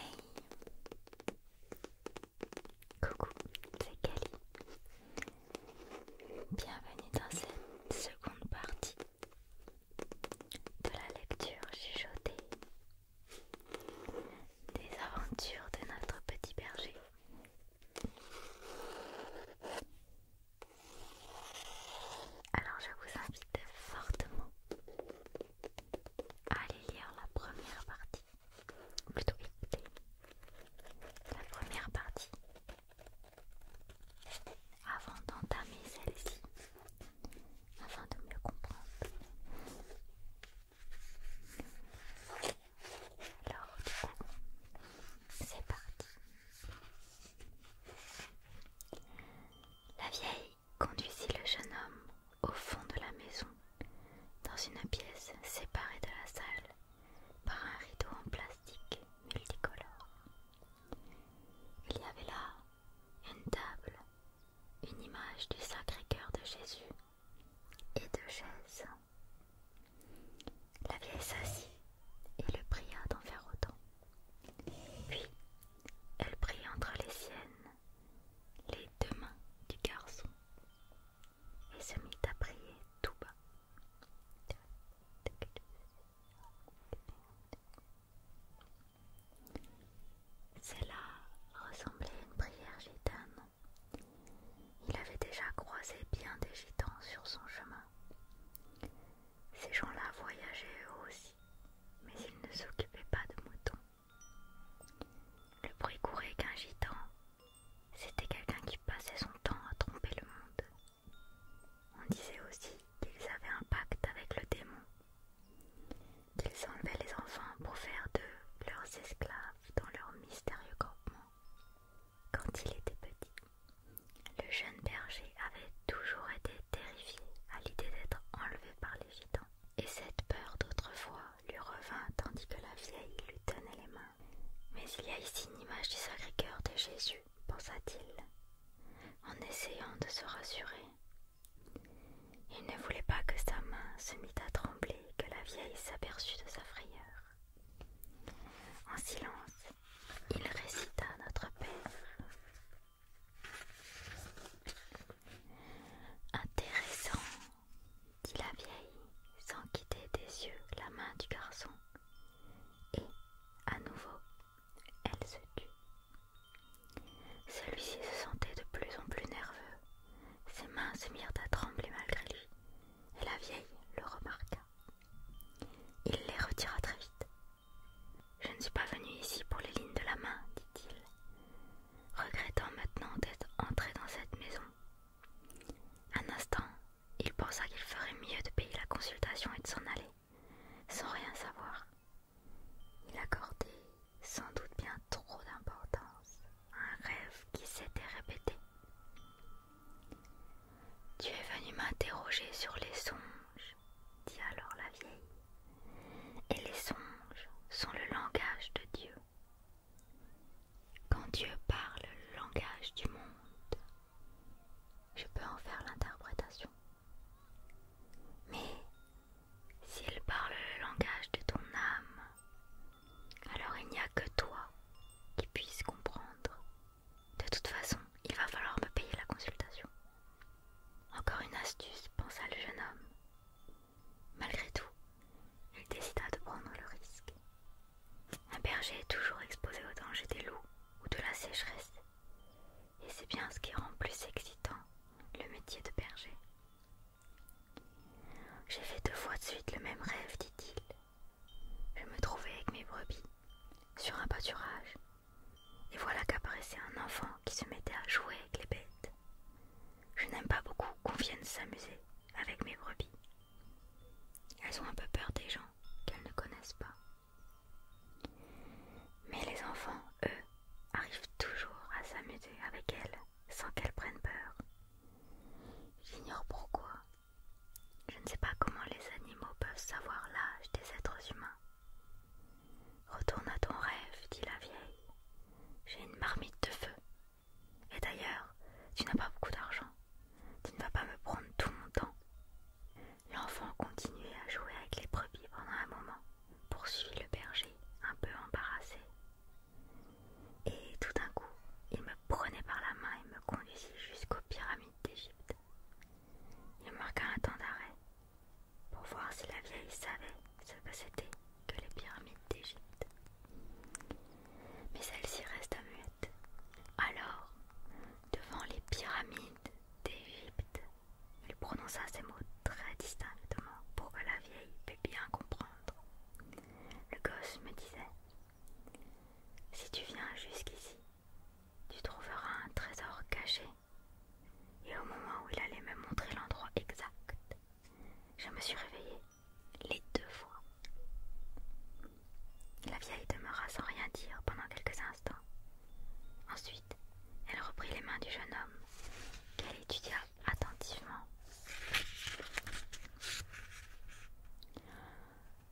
Hey Coucou, c'est Kelly. Bienvenue dans cette seconde partie de la lecture chuchotée des aventures de notre petit berger. Alors je vous invite fortement allez lire la première partie, ou plutôt écouter la première partie avant d'entamer celle-ci, afin de mieux comprendre. Alors, c'est parti. La vieille conduisit le jeune homme au fond de la maison, dans une pièce séparée de la salle par un rideau en plastique multicolore. Il y avait là une table, une image du Sacré-Cœur de Jésus et deux chaises. La vieille s'assit et le pria d'en faire autant. Puis, elle prit entre les siennes les deux mains du garçon et se mit à prier tout bas. Cela ressemblait à une prière gitane. Il avait déjà croisé bien des gitans sur son chemin. Ces gens-là voyageaient eux aussi, mais ils ne s'occupaient pas de moutons. Le bruit courait qu'un gitan, c'était quelqu'un qui passait son temps à tromper le monde. On disait aussi qu'ils avaient un pacte avec le démon, qu'ils enlevaient les enfants pour faire d'eux leurs esclaves dans leur mystérieux campement. Quand il était petit, le jeune berger avait toujours été terrifié à l'idée d'être enlevé par les gitans et cette peur d'autrefois lui revint tandis que la vieille lui tenait les mains. Mais il y a ici une image du Sacré-Cœur de Jésus, pensa-t-il, en essayant de se rassurer. Il ne voulait pas que sa main se mît à trembler que la vieille s'aperçût de sa frayeur. En silence, il récita notre Père. Intéressant, dit la vieille, sans quitter des yeux la main du garçon. Et, à nouveau, elle se tut. Celui-ci se sentait de plus en plus nerveux. Ses mains se mirent à trembler malgré lui, et la vieille le remarqua. Il les retira très vite. Je ne suis pas venu ici pour les lignes de la main, dit-il regrettant maintenant d'être entré dans cette maison. Un instant, il pensa qu'il ferait mieux de payer la consultation et de s'en aller, sans rien savoir. Il accordait sans doute bien trop d'importance à un rêve qui s'était répété. Tu es venu m'interroger sur les songes, dit alors la vieille et les songes sont le langage de Dieu. Quand Dieu parle le langage du monde, je peux en faire l'interprétation. Mais s'il parle le langage de ton âme, alors il n'y a que toi qui puisse comprendre. De toute façon, il va falloir me payer la consultation. Encore une astuce, pensa le jeune homme. Malgré tout, il décida de prendre le risque. Un berger est toujours exposé au danger des loups ou de la sécheresse, et c'est bien ce qui rend plus excitant le métier de berger. J'ai fait deux fois de suite le même rêve, dit-il. Je me trouvais avec mes brebis sur un pâturage, et voilà qu'apparaissait un enfant qui se mettait à jouer avec les bêtes. Je n'aime pas beaucoup qu'on vienne s'amuser avec mes brebis. Elles ont un peu peur des gens qu'elles ne connaissent pas. Mais les enfants, eux, arrivent toujours à s'amuser avec elles sans qu'elles prennent peur. J'ignore pourquoi. Je ne sais pas comment les animaux peuvent savoir l'âge des êtres humains. Retourne à ton rêve, dit la vieille. J'ai une marmite de feu. Et d'ailleurs, tu n'as pas beaucoup d'argent. Tu ne vas pas me prendre tout mon temps. L'enfant continuait à jouer avec les brebis pendant un moment, poursuivit le berger, un peu embarrassé. Et tout d'un coup, il me prenait par la main et me conduisit jusqu'aux pyramides d'Égypte. Il marqua un temps d'arrêt, pour voir si la vieille savait ce que c'était que les pyramides d'Égypte. Mais celle-ci resta muette. Alors, devant les pyramides d'Égypte, il prononça ces mots très distinctement pour que la vieille puisse bien comprendre. Le gosse me disait Si tu viens jusqu'ici, tu trouveras un trésor caché. Et au moment où il allait me montrer l'endroit exact, je me suis réveillée les deux fois. La vieille demeura sans rien dire pendant quelques instants. Ensuite, elle reprit les mains du jeune homme, qu'elle étudia attentivement.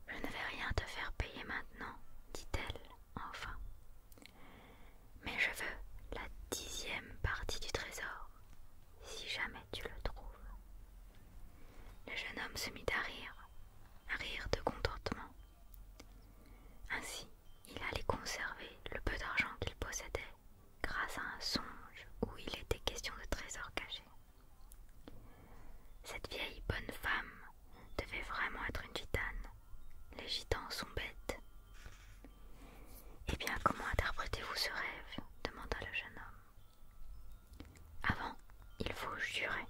Je ne vais rien te faire payer maintenant, dit-elle enfin mais je veux la dixième partie du trésor, si jamais tu le trouves. Le jeune homme se mit à rire, à rire de contentement. Ainsi, il allait conserver le peu d'argent qu'il possédait grâce à un songe où il était question de trésor caché. Cette vieille bonne femme devait vraiment être une gitane. Les gitans sont bêtes. Eh bien, comment interprétez-vous ce rêve demanda le jeune homme. Avant, il faut jurer.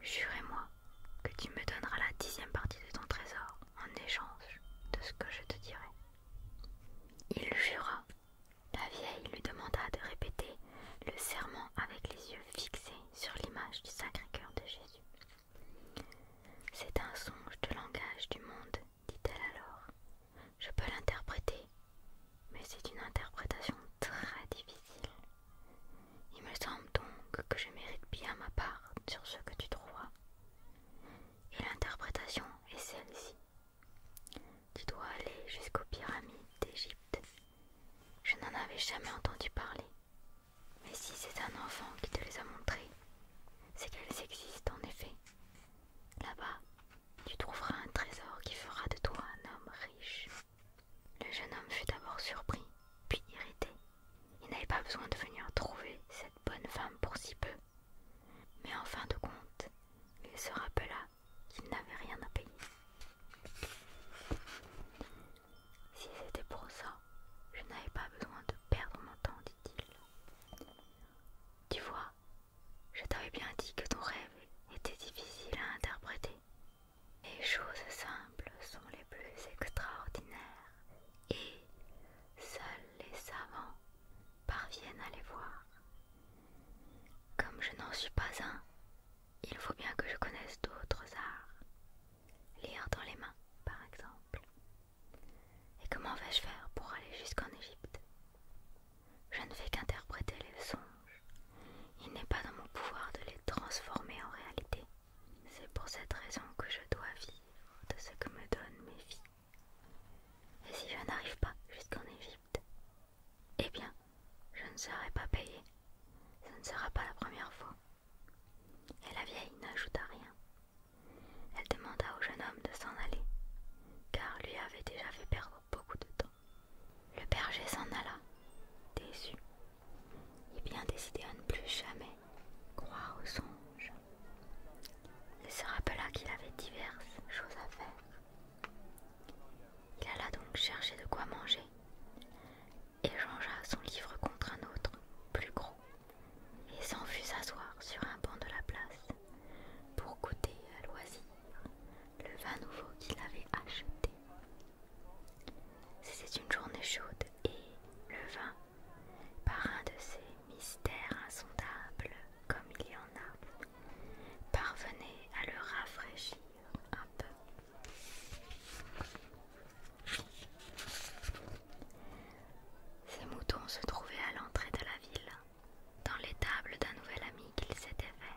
Jurez-moi que tu me donneras la dixième partie de ton trésor en échange de ce que je te dirai. Il jura. La vieille lui demanda de répéter le serment avec les yeux fixés sur l'image du Sacré-Cœur de Jésus. C'est un songe de langage du monde dit-elle alors. Je peux l'interpréter, mais c'est une interprétation très difficile. Il me semble donc que je mérite bien ma part sur ce que tu trouveras. Et l'interprétation est celle-ci. Tu dois aller jusqu'aux pyramides d'Égypte. Je n'en avais jamais entendu parler. Mais si c'est un enfant qui te les a montrés, c'est qu'elles existent en effet. Là-bas, tu trouveras un trésor qui fera de toi un homme riche. Le jeune homme fut d'abord surpris, puis irrité. Il n'avait pas besoin de venir trouver cette bonne femme pour si peu. Mais en fin de compte, il se rappela qu'il n'avait rien à payer. Si c'était pour ça, je n'avais pas besoin de perdre mon temps, dit-il. Tu vois, je t'avais bien dit que ton rêve était difficile à interpréter. Les choses simples sont les plus extraordinaires et seuls les savants parviennent à les voir. Comme je n'en suis pas un, il faut bien que je connaisse d'autres arts. Lire dans les mains, par exemple. Et comment vais-je faire pour aller jusqu'en Égypte Je ne fais qu'interpréter les songes. Il n'est pas dans mon pouvoir de les transformer en réalité. C'est pour cette raison que je dois vivre de ce que me donnent mes filles. Et si je n'arrive pas jusqu'en Égypte, eh bien, je ne serai pas payée. Ce ne sera pas la première fois. Et la vieille n'ajouta rien. Elle demanda au jeune homme de s'en aller, car lui avait déjà fait perdre beaucoup de temps. Le berger s'en alla, déçu, et bien décidé à ne plus jamais croire aux songes. Il se rappela qu'il avait diverses choses à faire. Il alla donc chercher de quoi manger, et changea son livre contre un autre, plus gros, et s'en fut s'asseoir sur un banc de la place pour goûter à loisir le vin nouveau qu'il avait acheté. C'était une journée chaude et le vin, par un de ces mystères insondables comme il y en a, parvenait à le rafraîchir un peu. Ces moutons se trouvaient à l'entrée de la ville, dans l'étable d'un nouvel ami qu'ils s'étaient fait.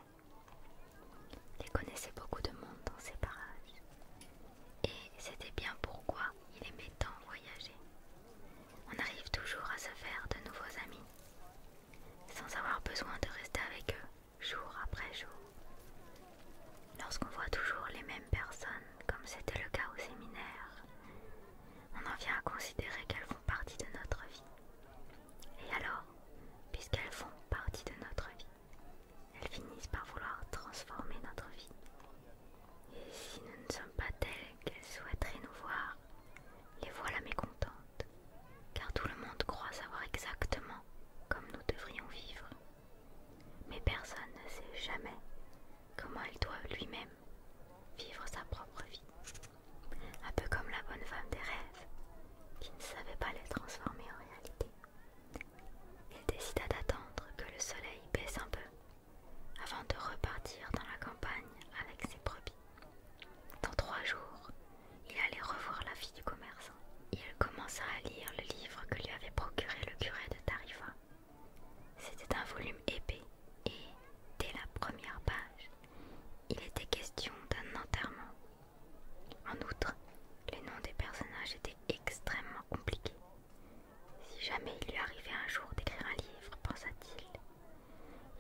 Il connaissait beaucoup de monde dans ces parages, et c'était bien pourquoi il aimait tant voyager. On arrive toujours à se faire de nouveaux amis, sans avoir besoin de rester avec eux jour après jour. Lorsqu'on voit toujours les mêmes personnes, comme c'était le cas au séminaire, on en vient à considérer qu'elles font partie de notre vie. Et alors, puisqu'elles font partie de notre vie, elles finissent par vouloir transformer notre vie. Et si nous ne sommes pas telles qu'elles souhaiteraient nous voir, les voilà mécontentes, car tout le monde croit savoir exactement comme nous devrions vivre. Mais personne ne sait jamais comment il doit lui-même vivre sa propre vie. Un peu comme la bonne femme des rêves, qui ne savait pas les transformer en réalité. Il décida d'attendre que le soleil baisse un peu, avant de repartir dans la campagne avec ses brebis. Dans trois jours, il allait revoir la fille du commerçant. Il commença à lire le livre que lui avait procuré le curé de Tarifa. C'était un volume épais et, dès la première page, il était question d'un enterrement. En outre, les noms des personnages étaient extrêmement compliqués. Si jamais il lui arrivait un jour d'écrire un livre, pensa-t-il,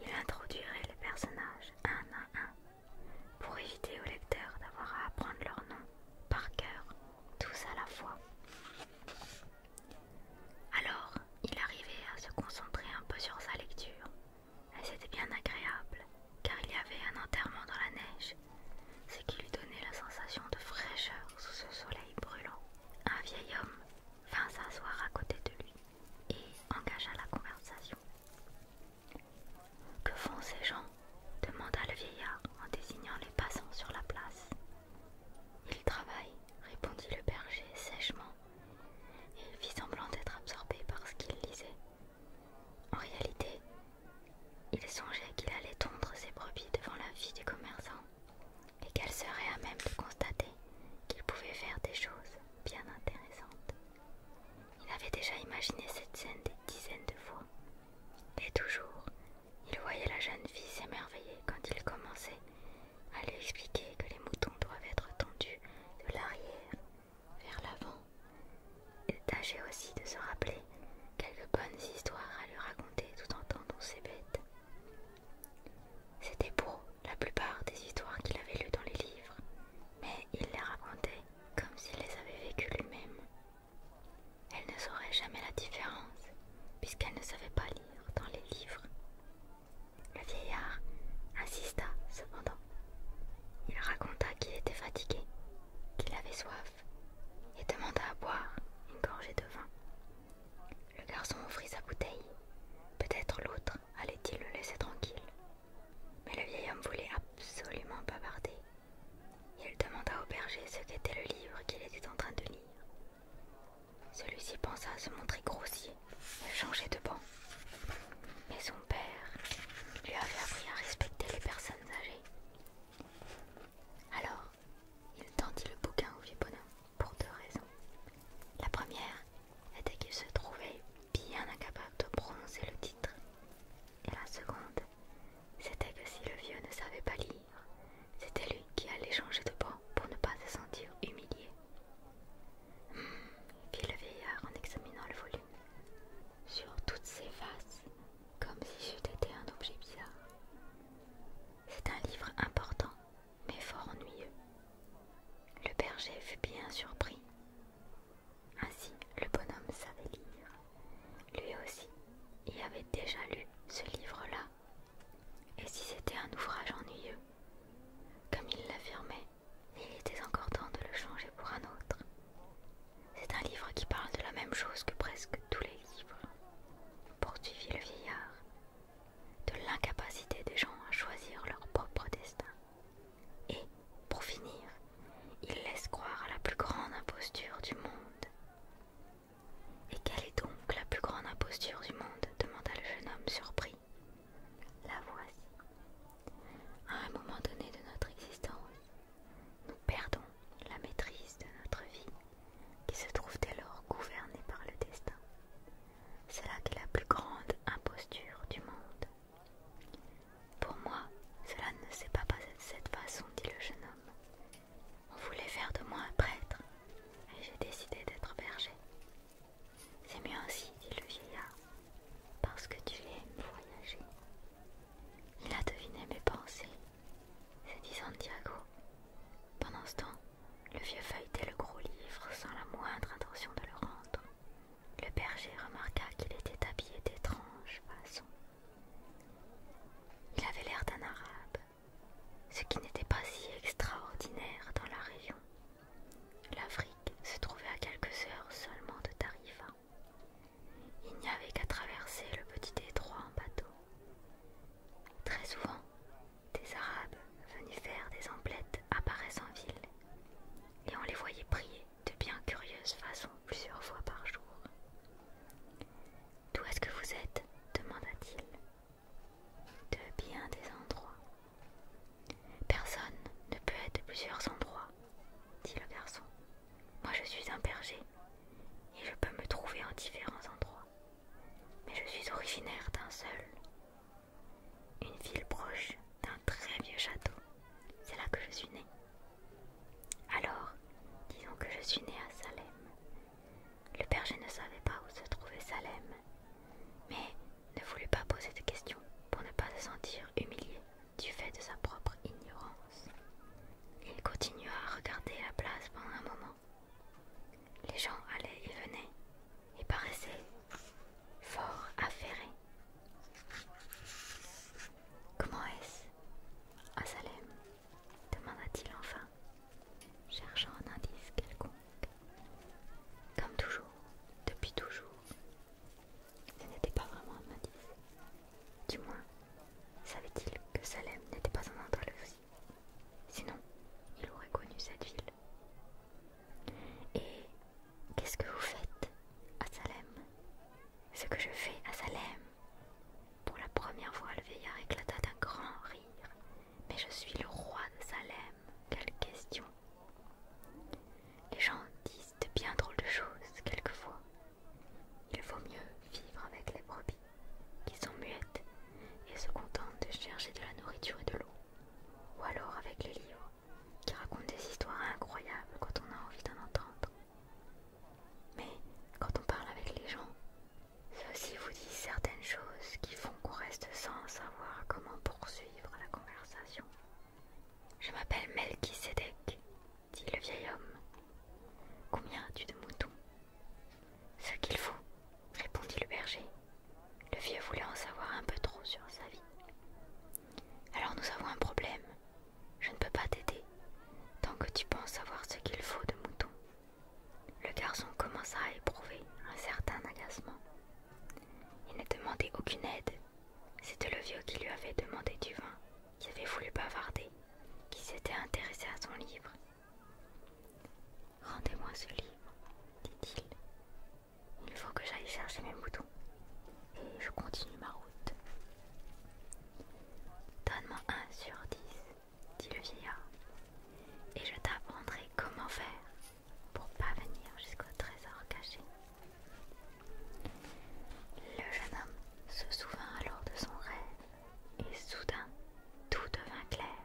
il introduirait les personnages un à un pour éviter au lecteurs d'avoir à apprendre leurs noms par cœur tous à la fois. Alors, il arrivait à se concentrer un peu sur sa lecture, et c'était bien agréable, car il y avait un enterrement dans la neige, ce qui lui donnait la sensation de fraîcheur sous ce soleil brûlant. Un vieil homme vint s'asseoir à côté de lui et engagea la conversation. Que font ces gens demanda le vieillard en désignant les passants sur la place. Il travaille, répondit le berger sèchement, et il fit semblant d'être absorbé par ce qu'il lisait. En réalité, il songeait qu'il allait tondre ses brebis devant la vie des commerçants, et qu'elle serait à même de constater qu'il pouvait faire des choses bien intéressantes. Il avait déjà imaginé cette scène des dizaines de fois, et toujours il voyait la jeune fille s'émerveiller quand il commençait à lui expliquer que les moutons doivent être tendus de l'arrière vers l'avant. Et tâcher aussi de se rappeler quelques bonnes histoires à lui raconter tout en tendant ses bêtes. C'était beau la plupart des histoires qu'il avait lues dans les livres, mais il les racontait comme s'il les avait vécues lui-même. Elle ne saurait jamais la différence, puisqu'elle ne savait pas lire dans les livres. Le vieillard insista cependant. Il raconta qu'il était fatigué, qu'il avait soif, et demanda à boire une gorgée de vin. Le garçon offrit sa bouteille. Peut-être l'autre allait-il le laisser tranquille. Mais le vieil homme voulait absolument pas bavarder. Il demanda au berger ce qu'était le livre qu'il était en train de lire. Celui-ci pensa à se montrer grossier et changer de banc. Mais son père lui avait appris à respecter les personnes âgées. Alors, il tendit le bouquin au vieux bonhomme pour deux raisons. La première était qu'il se trouvait bien incapable de prononcer le titre. Et la seconde, c'était que si le vieux ne savait pas lire, c'était lui qui allait changer de banc pour ne pas se sentir humilié. Hum, fit le vieillard en examinant le volume. Sur toutes ses faces, comme si c'eût été un objet bizarre. C'est un livre important, mais fort ennuyeux. Le berger fut bien surpris. Ainsi, le bonhomme savait lire. Lui aussi, il avait déjà lu ce livre-là et si c'était un ouvrage ennuyeux Comme il l'affirmait, il était encore temps de le changer pour un autre. C'est un livre qui parle de la même chose que presque tous les livres, poursuivit le vieillard, de l'incapacité des gens à choisir leur propre destin. Et, pour finir, il laisse croire à la plus grande imposture du monde. Et quelle est donc la plus grande imposture du monde demanda le jeune homme surpris. La voici. À un moment donné de notre existence, nous perdons la maîtrise de notre vie, qui se trouve dès lors gouvernée par le destin. C'est là qu'est la plus grande imposture du monde. Pour moi, cela ne s'est pas passé de cette façon, dit le jeune homme. On voulait faire de moi un prêtre, et j'ai décidé d'être berger. C'est mieux ainsi, dit le vieillard, parce que tu aimes voyager. Il a deviné mes pensées, c'est dit Santiago. Pendant ce temps, le vieux feuilletait le gros livre sans la moindre intention de le rendre. Le berger remarqua qu'il était habillé d'étranges façon. Il avait l'air d'un arabe, ce qui n'était pas si extraordinaire dans la région. L'Afrique se trouvait à quelques heures seulement de Tarifa. Il n'y avait qu'à traverser le petit étroit en bateau. Très souvent, des Arabes venus faire des emplettes apparaissent en ville, et on les voyait prier de bien curieuse façon plusieurs fois par jour. D'où est-ce que vous êtes demanda-t-il. De bien des endroits. Personne ne peut être de plusieurs endroits, dit le garçon. Moi je suis un berger, et je peux me trouver en différents endroits. Mais je suis originaire d'un seul. Une ville proche d'un très vieux château. C'est là que je suis né. Alors, disons que je suis né à Salem, le berger ne savait pas où se trouvait Salem, mais ne voulut pas poser de questions pour ne pas se sentir humilié du fait de sa propre ignorance. Il continua à regarder la place pendant un moment. Les gens allaient et venaient et paraissaient fort affairés. Comment est-ce à Salem demanda-t-il enfin cherchant un indice quelconque. Comme toujours, depuis toujours, ce n'était pas vraiment un indice. Du moins, savait-il que Salem n'était pas un entre aussi. Sinon, il aurait connu cette ville. Et qu'est-ce que vous faites à Salem Ce que je fais à Salem Pour la première fois, le vieillard éclata d'un grand rire mais je suis le roi de Salem, quelle question Les gens disent de bien drôles de choses quelquefois. Il vaut mieux vivre avec les brebis, qui sont muettes et se contentent de chercher de la nourriture et de l'eau, ou alors avec les livres, qui racontent des histoires incroyables quand on a envie d'en entendre. Mais quand on parle avec les gens, ceux-ci vous dit certaines choses qui font qu'on reste sans savoir comment poursuivre la conversation. Je m'appelle Melchisedec, dit le vieil homme. Combien as-tu de moutons Ce qu'il faut, répondit le berger. Le vieux voulait en savoir un peu trop sur sa vie. Alors nous avons un problème. Je ne peux pas t'aider tant que tu penses avoir ce qu'il faut de moutons. Le garçon commença à éprouver un certain agacement. Il ne demandait aucune aide. C'était le vieux qui lui avait demandé du vin, qui avait voulu bavarder, qui s'était intéressé à son livre. Rendez-moi ce livre, dit-il. Il faut que j'aille chercher mes moutons. Et je continue ma route. Donne-moi un sur dix dit le vieillard, et je t'apprendrai comment faire pour pas venir jusqu'au trésor caché. Le jeune homme se souvint alors de son rêve, et soudain tout devint clair.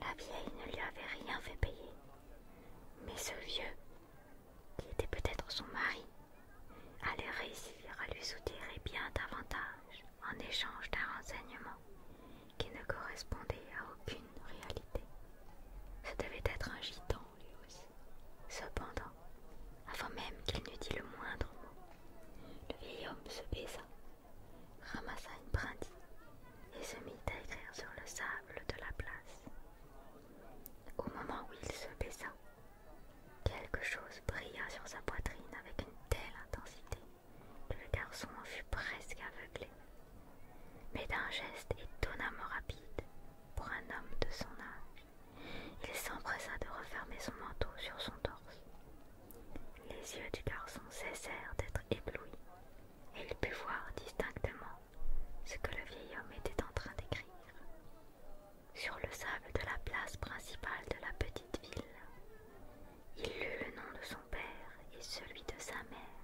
La vieille ne lui avait rien fait payer, mais ce vieux, qui était peut-être son mari, allait réussir à lui soutirer bien davantage en échange d'un renseignement qui ne correspondait à aucune réalité. Ce devait être un gitan, lui aussi. Cependant, avant même qu'il n'eût dit le moindre mot, le vieil homme se baisa, ramassa une brindille et se mit à écrire sur le sable de la place. Au moment où il se baissa, quelque chose brilla sur sa poitrine avec une telle intensité le garçon en fut presque aveuglé, mais d'un geste étonnamment rapide pour un homme de son âge, il s'empressa de refermer son manteau sur son torse. Les yeux du garçon cessèrent d'être éblouis, et il put voir distinctement ce que le vieil homme était en train d'écrire. Sur le sable de la place principale de la petite ville, il lut le nom de son père et celui de sa mère.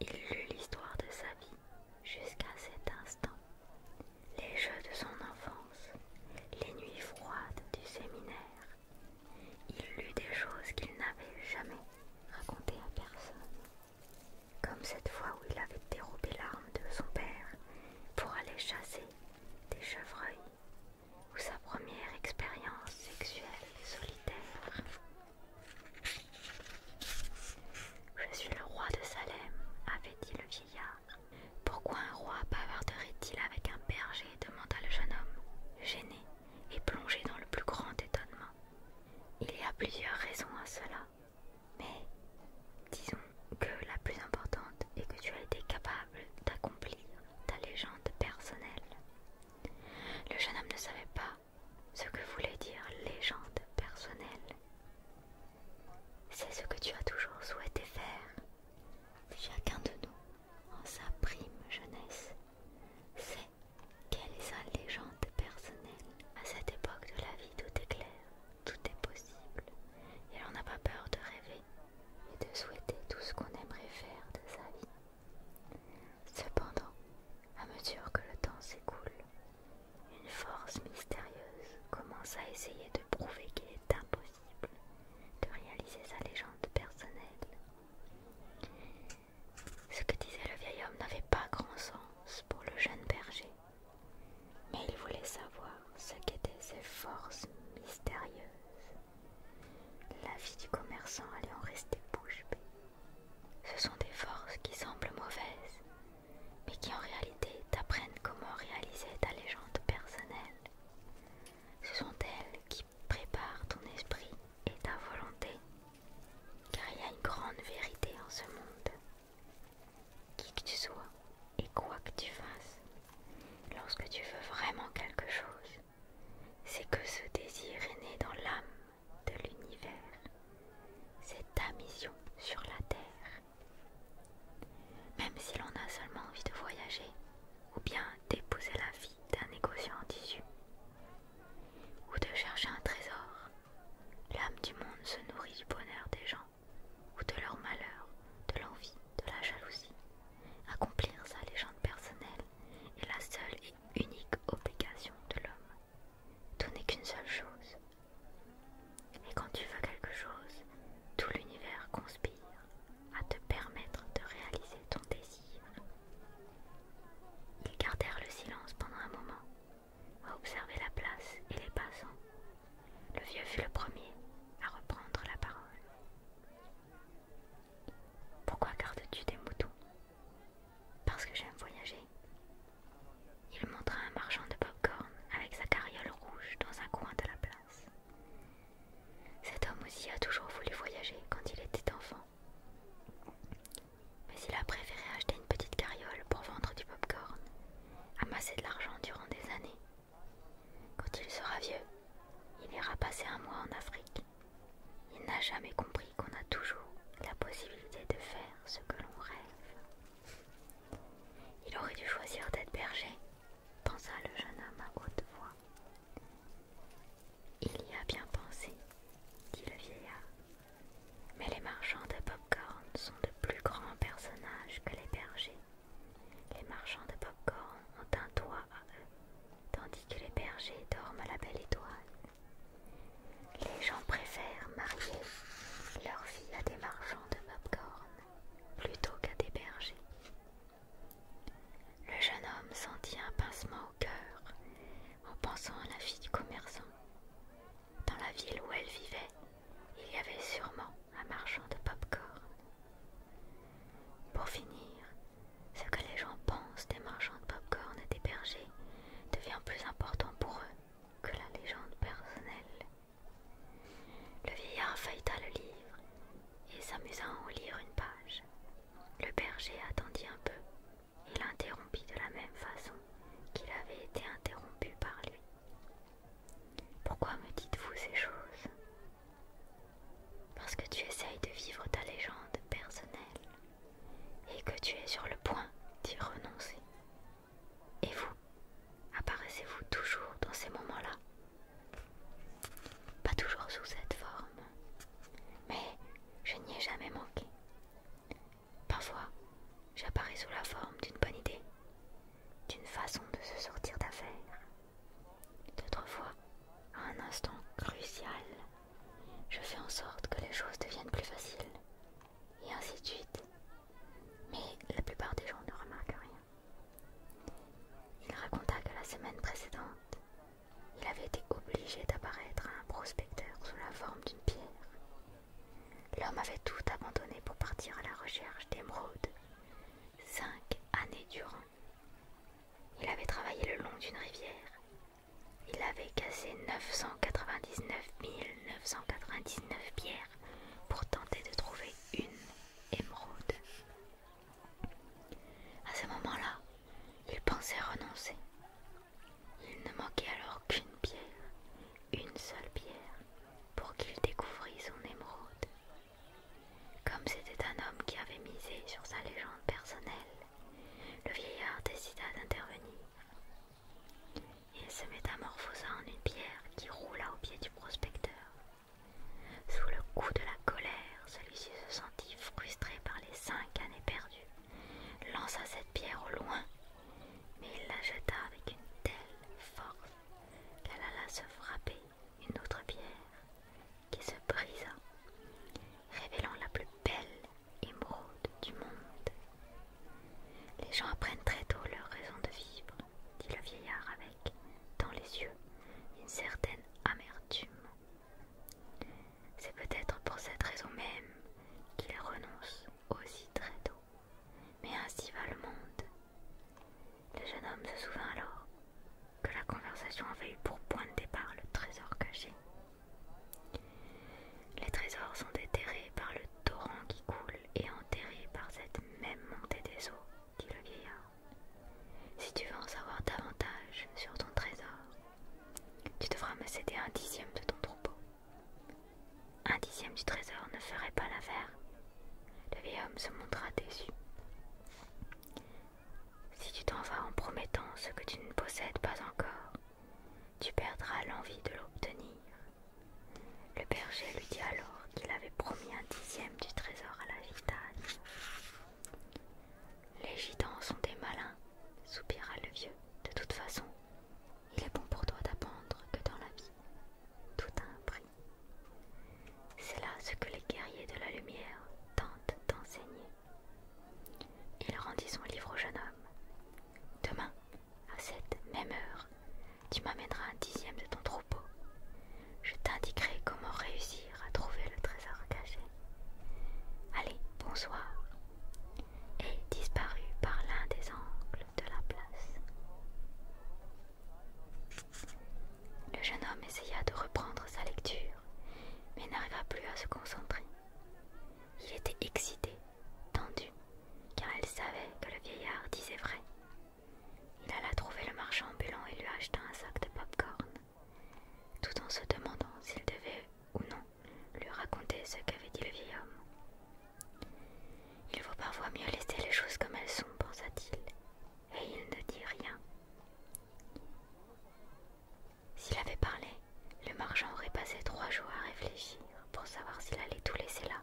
Il lut l'histoire de sa vie jusqu'à cet instant. Les jeux de son enfance, les nuits froides du séminaire. Il lut des choses qu'il n'avait jamais racontées à personne. Comme cette fois où il avait dérobé l'arme de son père pour aller chasser des chevreuils ou sa première expérience sexuelle solitaire. Je suis le roi de Salem, avait dit le vieillard. Pourquoi un roi bavarderait-il avec un berger demanda le jeune homme, gêné et plongé dans le plus grand étonnement. Il y a plusieurs raisons à cela, mais disons que la plus importante est que tu as été capable d'accomplir ta légende personnelle. Le jeune homme ne savait pas ce que voulait dire légende personnelle. C'est ce que tu as toujours souhaité faire. Chacun de nous, en sa prime jeunesse, sait quelle est sa légende personnelle. À cette époque de la vie, tout est clair, tout est possible, et on n'a pas peur de rêver et de souhaiter tout ce qu'on aimerait faire de sa vie. Cependant, à mesure que le temps s'écoule, une force mystérieuse commence à essayer de prouver qu'il est impossible de réaliser sa légende personnelle. Ce que disait le vieil homme n'avait pas grand sens pour le jeune berger, mais il voulait savoir ce qu'étaient ces forces mystérieuses. La vie du commerçant allait en rester bouche bée. Ce sont des forces qui semblent mauvaises, mais qui en réalité t'apprennent comment réaliser ta légende personnelle. Ce sont elles qui préparent ton esprit et ta volonté, car il y a une grande vérité en ce monde. Qui que tu sois et quoi que tu fasses, lorsque tu veux vraiment quelque chose, c'est que ce désir est né dans l'âme de l'univers. C'est ta mission sur la Terre. Même si l'on a seulement envie de voyager ou bien d'épouser la fille d'un négociant en tissu ou de chercher un trésor, l'âme du monde se nourrit du bonheur des gens ou de leur malheur, de l'envie, de la jalousie, accomplir sa légende personnelle est la seule et unique obligation de l'homme. Tout n'est qu'une seule chose. Et quand tu veux quelque chose, tout l'univers conspire à te permettre de réaliser ton désir. Ils gardèrent le silence pendant un moment, à observer la place et les passants. Le vieux fut le premier à reprendre la parole. Pourquoi gardes-tu des moutons Parce que j'aime voyager. Il montra un marchand de pop-corn avec sa carriole rouge dans un coin de la place. Cet homme aussi a toujours voulu voyager quand il était enfant. Mais il a préféré acheter une petite carriole pour vendre du pop-corn, amasser de l'argent durant des années quand il sera vieux, il ira passer un mois en Afrique. Il n'a jamais compris qu'on a toujours la possibilité de faire ce que l'on rêve. Il aurait dû choisir d'être berger, pensa le jeune homme à haute voix. Il y a bien pensé, dit le vieillard. Mais les marchands de popcorn sont de plus grands personnages que les bergers. Les marchands de popcorn ont un toit à eux tandis que les bergers dorment à la belle étoile. Les gens préfèrent marier leur fille à des marchands de popcorn plutôt qu'à des bergers. Le jeune homme sentit un pincement au cœur en pensant à la fille du commerçant. Dans la ville où elle vivait, il y avait sûrement un marchand de pop-corn. Pour finir, ce que les gens pensent des marchands de popcorn et des bergers devient plus important pour eux que la légende personnelle. Le vieillard feuilleta le livre et s'amusa à en lire une page. Le berger attendit un peu et l'interrompit de la même façon qu'il avait été interrompu par lui. Pourquoi me dites-vous ces choses parce que tu essayes de vivre ta légende personnelle et que tu es sur le point d'y renoncer. Et vous, apparaissez-vous toujours dans ces moments-là Pas toujours sous cette forme, mais je n'y ai jamais manqué. Parfois, j'apparais sous la forme d'une bonne idée, d'une façon de se sortir d'affaires, D'autres fois, à un instant crucial, je fais en sorte que les choses deviennent plus faciles, et ainsi de suite. Mais la plupart des gens ne remarquent rien. Il raconta que la semaine précédente, il avait été obligé d'apparaître à un prospecteur sous la forme d'une pierre. L'homme avait tout abandonné pour partir à la recherche d'émeraudes, cinq années durant. Il avait travaillé le long d'une rivière. Il avait cassé 999 999 pierres pour tenter de trouver une émeraude. À ce moment-là, il pensait renoncer. Il ne manquait alors qu'une pierre, une seule pierre, pour qu'il découvrît son émeraude. Comme c'était un homme qui avait misé sur sa légende personnelle, le vieillard décida d'intervenir. Il se métamorphosa en une pierre qui roula au pied du prospecteur. Sous le coup de la colère, celui-ci se sentit frustré par les cinq années perdues, lança cette pierre au loin, mais il la jeta avec une telle force qu'elle alla se frapper une autre pierre qui se brisa, révélant la plus belle émeraude du monde. Les gens apprennent très tôt leur raison de vivre, dit le vieillard avec, dans les yeux, une certaine amertume. C'est peut-être pour cette raison même qu'ils renoncent aussi très tôt, mais ainsi va le monde. Le jeune homme se souvint alors que la conversation avait eu pour point de départ le trésor caché. Les trésors sont déterrés par le torrent qui coule et enterrés par cette même montée des eaux, dit le vieillard. Si tu veux en savoir davantage sur ton trésor, tu devras me céder un dixième de ton troupeau. Un dixième du trésor ne ferait pas l'affaire. Le vieil homme se montra déçu. Si tu t'en vas en promettant ce que tu ne possèdes pas encore, tu perdras l'envie de l'obtenir. Le berger lui dit alors qu'il avait promis un dixième du trésor à la gitane. Les gitans sont des malins, soupira le vieux. De toute façon, il est bon pour toi d'apprendre que dans la vie, tout a un prix. C'est là ce que les guerriers de la lumière tentent d'enseigner. Il rendit son livre au jeune homme. Demain, à cette même heure, tu m'amèneras un dixième de ton troupeau. Je t'indiquerai comment réussir à trouver le trésor caché. Allez, bonsoir. Et disparut par l'un des angles de la place. Le jeune homme essaya de reprendre sa lecture, mais n'arriva plus à se concentrer. Il était excité, tendu, car il savait que le vieillard disait vrai. Il alla trouver le marchand ambulant et lui acheta un sac de pop-corn, tout en se demandant s'il devait ou non lui raconter ce qu'avait dit le vieil homme. Il vaut parfois mieux laisser les choses comme elles sont, pensa-t-il, et il ne dit rien. S'il avait parlé, le marchand aurait passé trois jours à réfléchir pour savoir s'il allait tout laisser là.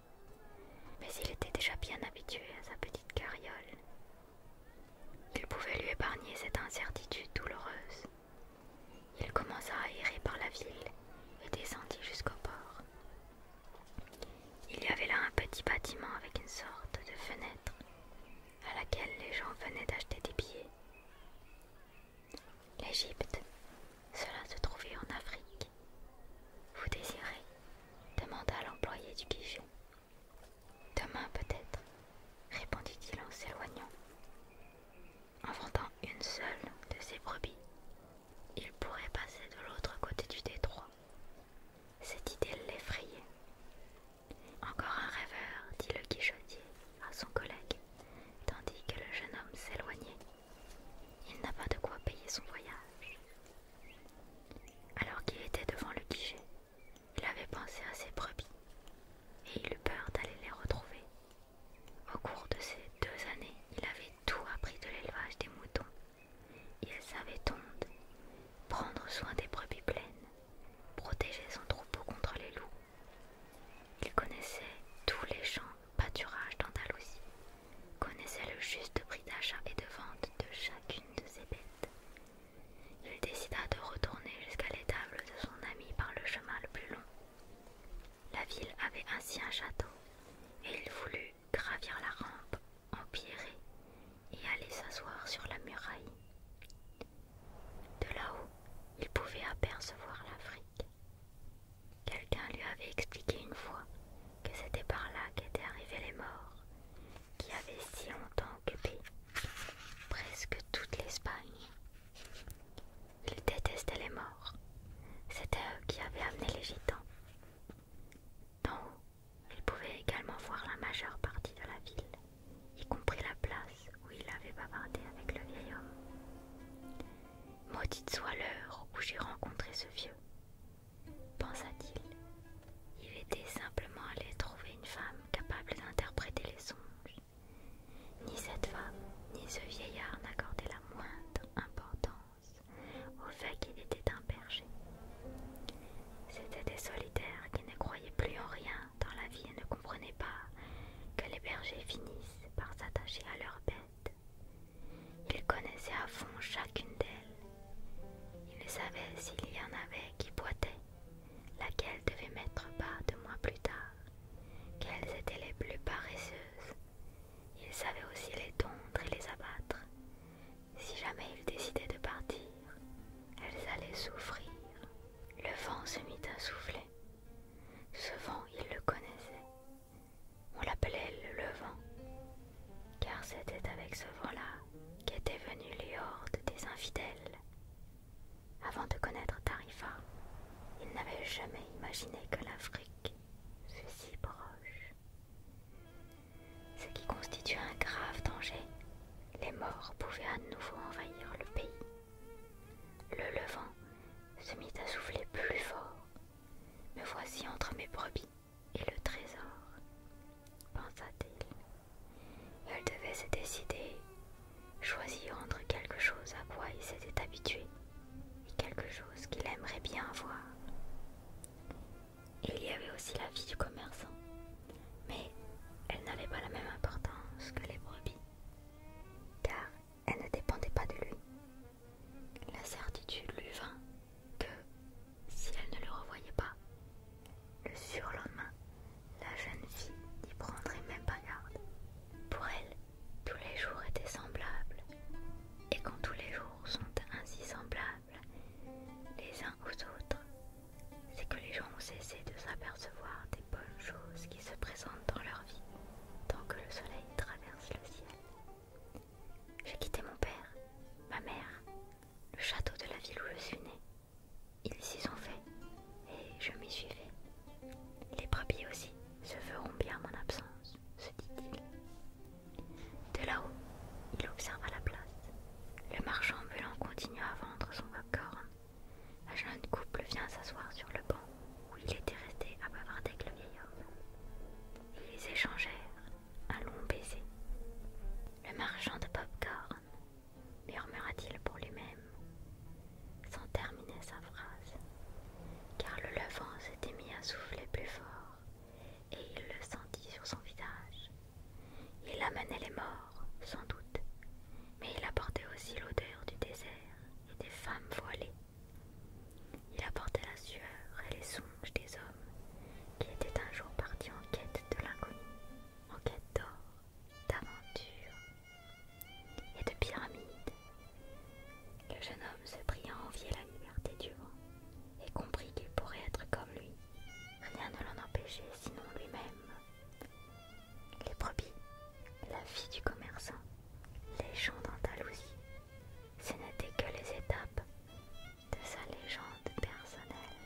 Mais il était déjà bien habitué à sa petite carriole. Il pouvait lui épargner cette incertitude douloureuse. Il commença à errer par la ville et descendit jusqu'au port. Il y avait là un petit bâtiment avec une sorte de fenêtre à laquelle les gens venaient d'acheter des billets. L'Égypte, cela se trouvait en Afrique. Vous désirez demanda l'employé du guichet. Demain peut-être, répondit-il en s'éloignant. En vendant une seule de ses brebis, il pourrait passer de l'autre côté du détroit. Cette idée l'effrayait. Encore un rêveur, dit le guichetier à son collègue, tandis que le jeune homme s'éloignait. Il n'a pas de quoi payer son voyage. Alors qu'il était devant le guichet, il avait pensé à ses brebis et il eut peur d'aller les retrouver. Au cours de ces deux années, il avait tout appris de l'élevage des moutons. Il savait tondre, prendre soin des brebis pleines, Protéger son troupeau contre les loups. Il connaissait tous les champs pâturages d'Andalousie, connaissait le juste prix d'achat et de vente de chacune de ses bêtes. Il décida de retourner jusqu'à l'étable de son ami par le chemin le plus long. La ville avait ainsi un château, et il voulut gravir la rampe empierrée et aller s'asseoir sur la muraille. De là-haut, il pouvait apercevoir l'Afrique. Quelqu'un lui avait expliqué une fois que c'était par là qu'étaient arrivés les morts, qui avaient si longtemps occupé presque toute l'Espagne. Il détestait les morts. C'était eux qui avaient amené les gitans. Il pouvait également voir la majeure partie de la ville, y compris la place où il avait bavardé avec le vieil homme. Maudite soit l'heure où j'ai rencontré ce vieux, pensa-t-il. Il était simplement allé trouver une femme capable d'interpréter les songes. Ni cette femme, ni ce vieillard n'accordaient la moindre importance au fait qu'il était un berger. C'était des solitaires qui ne croyaient plus en rien dans la vie et ne comprenaient pas que les bergers finissent par s'attacher à leurs bêtes. Ils connaissaient à fond chacune d'elles. Ils savaient s'il y en avait qui boitaient, laquelle devait mettre bas deux mois plus tard, quelles étaient les plus paresseuses. Ils savaient aussi les tondre et les abattre. Si jamais ils décidaient de partir, elles allaient souffrir. Le vent se mit à souffler. Ce vent, il le connaissait. On l'appelait le vent, car c'était avec ce vent-là qu'étaient venus les hordes des infidèles. Avant de connaître Tarifa, ils n'avaient jamais imaginé que l'Afrique fût si proche. Ce qui constitue un grave danger les morts pouvaient à nouveau envahir le pays. Le levant se mit à souffler plus fort. Me voici entre mes brebis et le trésor, pensa-t-il. Elle devait se décider, choisir entre quelque chose à quoi il s'était habitué et quelque chose qu'il aimerait bien voir. Il y avait aussi la vie du commerçant, mais elle n'avait pas la même importance que les brebis, car elle ne dépendait pas de lui. La certitude lui vint que, si elle ne le revoyait pas, le surlendemain, la jeune fille n'y prendrait même pas garde. Pour elle, tous les jours étaient semblables, et quand tous les jours sont ainsi semblables, les uns aux autres, c'est que les gens ont cessé de s'apercevoir des bonnes choses qui se présentent dans leur vie tant que le soleil traverse le ciel. J'ai quitté mon père, ma mère, le château de la ville où je suis né. Ils s'y sont faits et je m'y suis suivais. Les brebis aussi se feront bien mon absence, se dit-il. De là-haut, il observa la place le marchand ambulant continua à vendre son popcorn. Un jeune couple vient s'asseoir sur le banc où il était resté à bavarder avec le vieil homme. Ils échangèrent un long baiser. Le marchand de popcorn, murmura-t-il pour lui-même, sans terminer sa phrase, car le levant s'était mis à souffler plus fort et il le sentit sur son visage. Il amenait les morts, sans doute, mais il apportait aussi l'odeur du désert et des femmes voilées. Il apportait la sueur et les songes des hommes qui étaient un jour partis en quête de l'inconnu, en quête d'or, d'aventure et de pyramides. Le jeune homme se prit à envier la liberté du vent et comprit qu'il pourrait être comme lui. Rien ne l'en empêchait sinon lui-même. Les brebis, la vie du commerçant, les gens d'Andalousie, ce n'étaient que les étapes de sa légende personnelle.